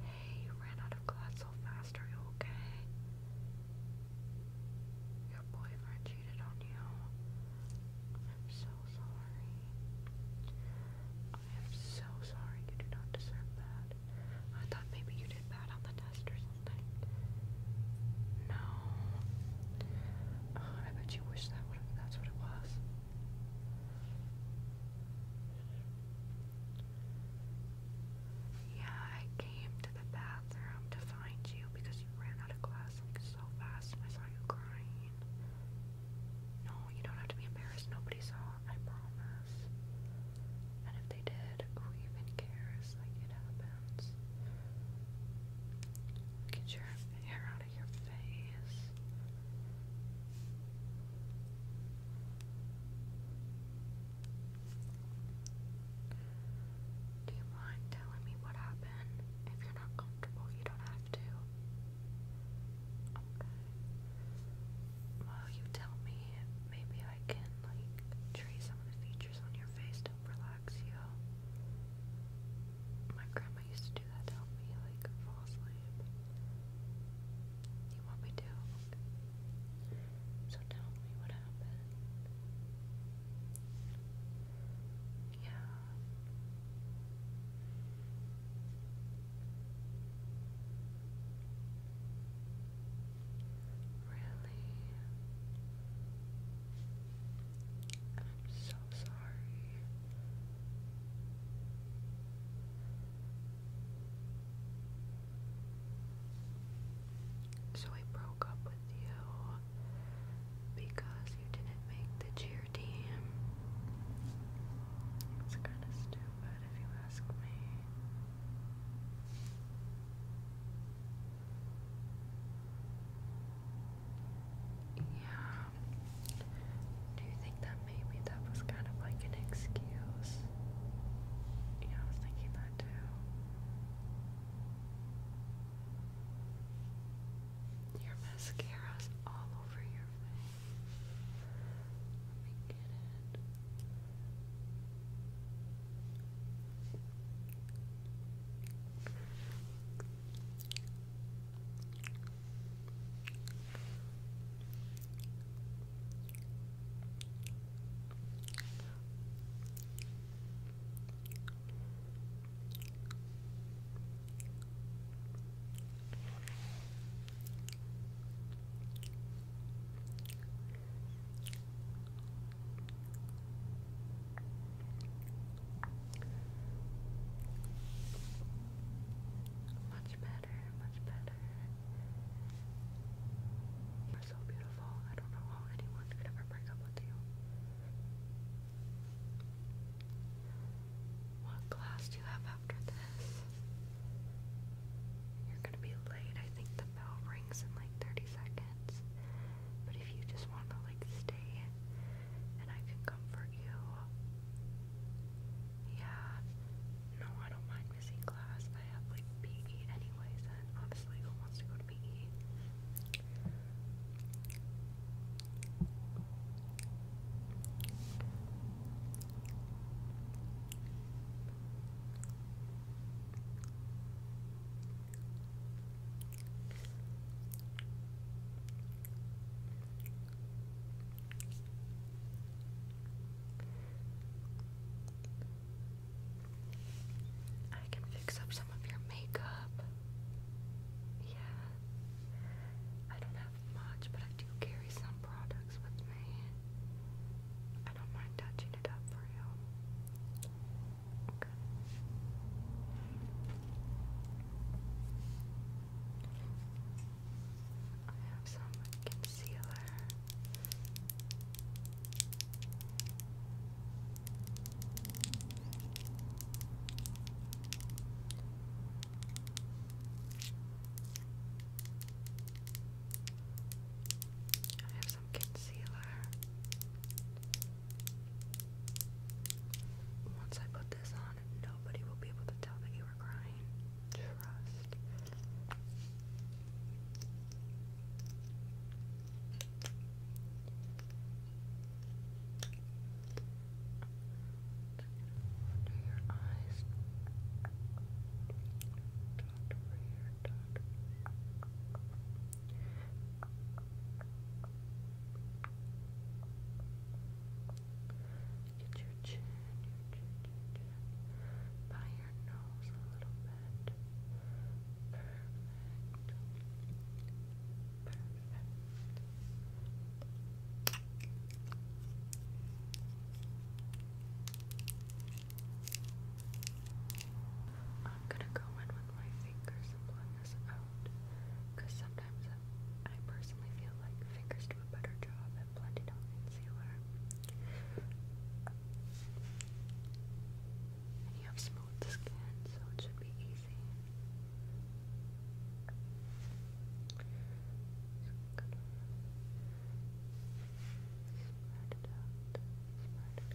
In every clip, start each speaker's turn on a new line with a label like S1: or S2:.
S1: Hey, you ran out of class so fast, are you okay? Your boyfriend cheated on you. I'm so sorry. I am so sorry. You do not deserve that. I thought maybe you did bad on the test or something. No. Oh, I bet you wish that would that's what it was. Yeah, I came to the bathroom to find you because you ran out of class like so fast and I saw you crying. No, you don't have to be embarrassed. Nobody saw, I promise. And if they did, who even cares? Like, it happens. Get your hair out of your face. Do you mind telling me what happened? If you're not comfortable, you don't have to. Well, you tell me. Maybe I can, like, trace some of the features on your face to relax you. My grandma used to do that to help me, like, fall asleep. You want me to? So tell me what happened. Yeah. Really? I'm so sorry. So I broke up with you because you didn't make the cheer team. It's kind of stupid if you ask me. Yeah. Do you think that maybe that was kind of like an excuse. Yeah, I was thinking that too. Your mascara's all over your face. Let me get it. Much better, much better. You're so beautiful. I don't know how anyone could ever break up with you. What class do you have after this? You're gonna be late. I think the bell rings in like 30 seconds. But if you just wanna like stay and I can comfort you. Yeah. No, I don't mind missing class. I have like PE anyways, and honestly, who wants to go to PE? I can fix up some of your makeup. Yeah. I don't have much, but I do carry some products with me. I don't mind touching it up for you. Okay. I have some concealer. I have some concealer. Once I put this on, nobody will be able to tell that you were crying. Trust. Under your eyes. Dot over here, dot. Get your chin, your chin, your chin. By your nose a little bit. Perfect. Perfect. I'm gonna go in with my fingers and blend this out sometimes I personally feel like fingers do a better job the Blended Home Concealer. And you have smooth skin, so it should be easy. Just gonna spread it out, spread it out, spread it out. Good.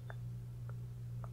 S1: your nose, on your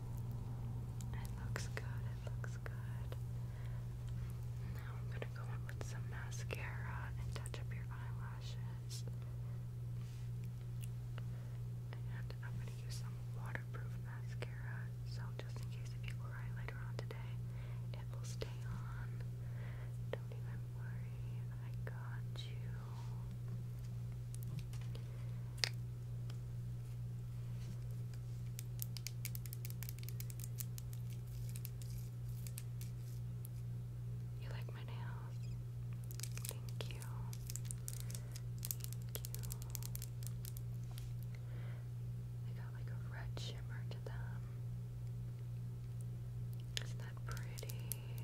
S1: It looks good, it looks good. Now I'm gonna go in with some mascara and touch up your eyelashes. And I'm gonna use some waterproof mascara, so just in case you cry later on today, it will stay on. Don't even worry, I got you. You like my nails? Thank you. Thank you. They got like a red shimmer to them. Isn't that pretty?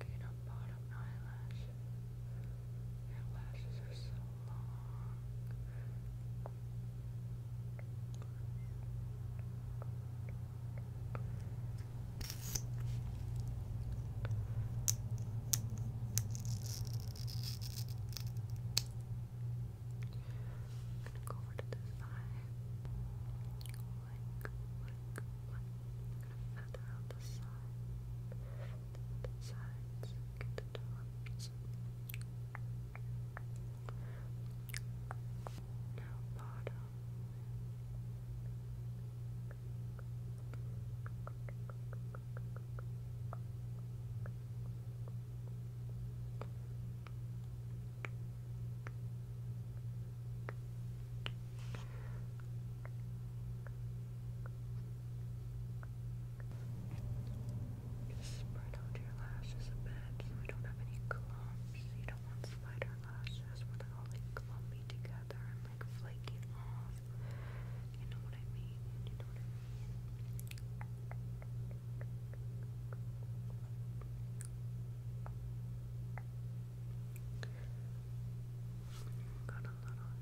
S1: Gain up bottom eyelash. Your lashes are so long. Good. I'm gonna go over to this eye. Like, gonna feather out the side. The sides. Get the tops. Now bottom. Spread out your lashes a bit so we don't have any clumps. You don't want spider lashes where they're all like clumpy together and like flaking you know what I mean? You know what I mean? Got a little hair.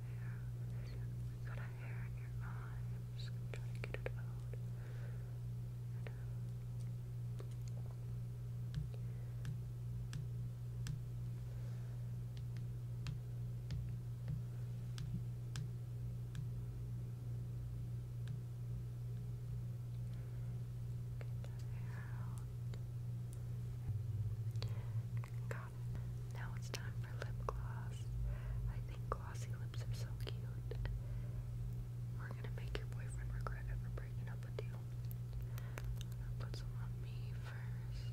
S1: got a hair in your eye. just gonna try to get it out. Now it's time for lip gloss. I think glossy lips are so cute. We're gonna make your boyfriend regret ever breaking up with you. put some on me first.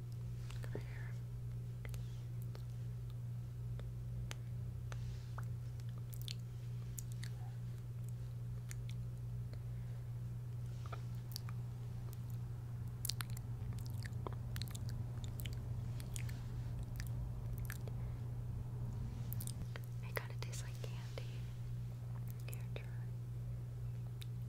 S1: Look at her hair. It kind of tastes like candy. Here, try.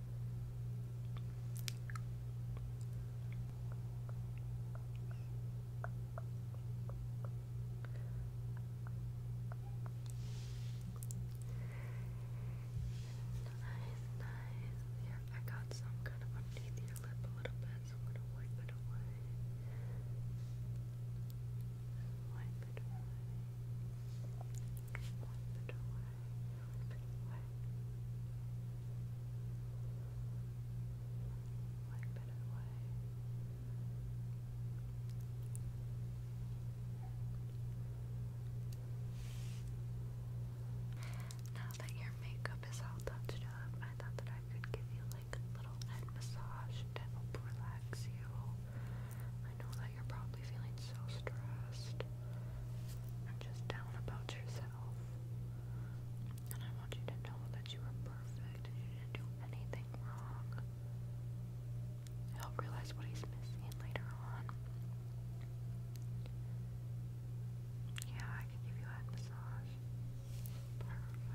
S1: Nice, nice. Here, I got some kind of underneath your lip a little bit, so I'm gonna wipe it away. Wipe it away. One Now that your makeup is all touched up, I thought that I could give you like a little head massage to relax you. I know that you're probably feeling so stressed and just down about yourself. And I want you to know that you are perfect you didn't do anything wrong. He'll realize what he's missing later on. Yeah, I can give you a massage. Perfect.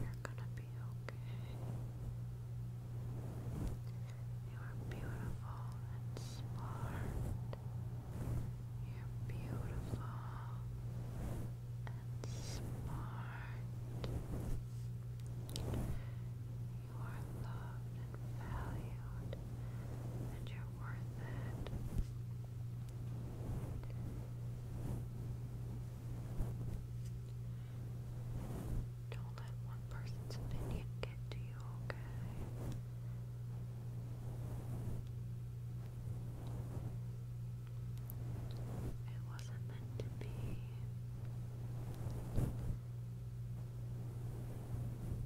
S1: You're gonna be okay. You are beautiful and smart. You're beautiful and smart. You are loved and valued, and you're worth it. Don't let one person's opinion get to you, okay? It wasn't meant to be.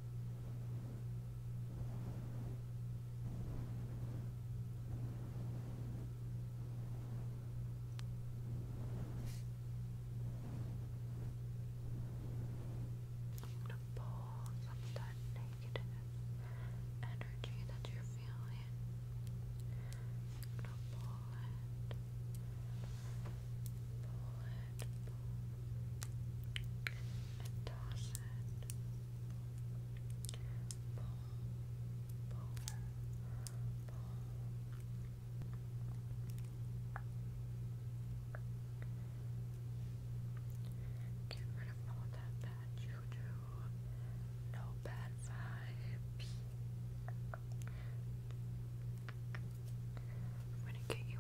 S1: I'm gonna pull some of that negative energy that you're feeling. I'm gonna pull it, pull it, Pull. Get rid of all that bad juju. No bad vibes. I'm gonna get you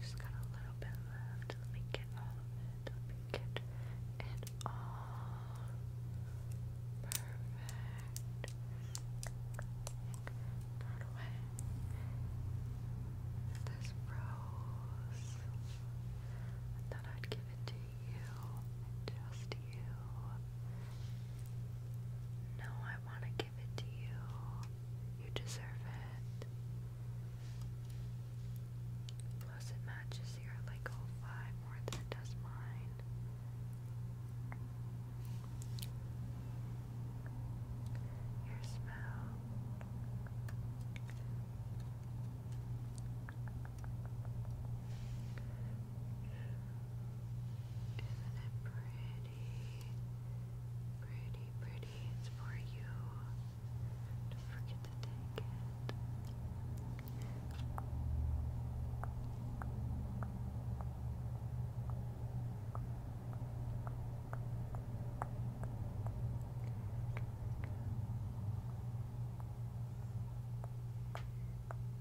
S1: Just got a little bit left. Let me get all of it. Let me get it all. Perfect. Not away. This rose. I thought I'd give it to you. Just you. No, I I want to give it to you. You deserve it. Plus, it matches your like oh, vibe more than it does mine. Your smell. Isn't it pretty? Pretty, pretty. It's for you. Don't forget to take it.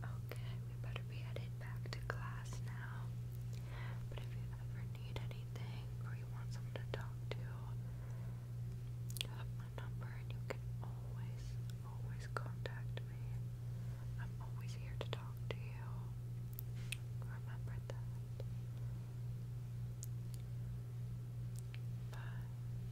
S1: Okay, we better be headed back to class now. But if you ever need anything or you want someone to talk to, have my number and you can always, always contact me. I'm always here to talk to you. Remember that. Bye.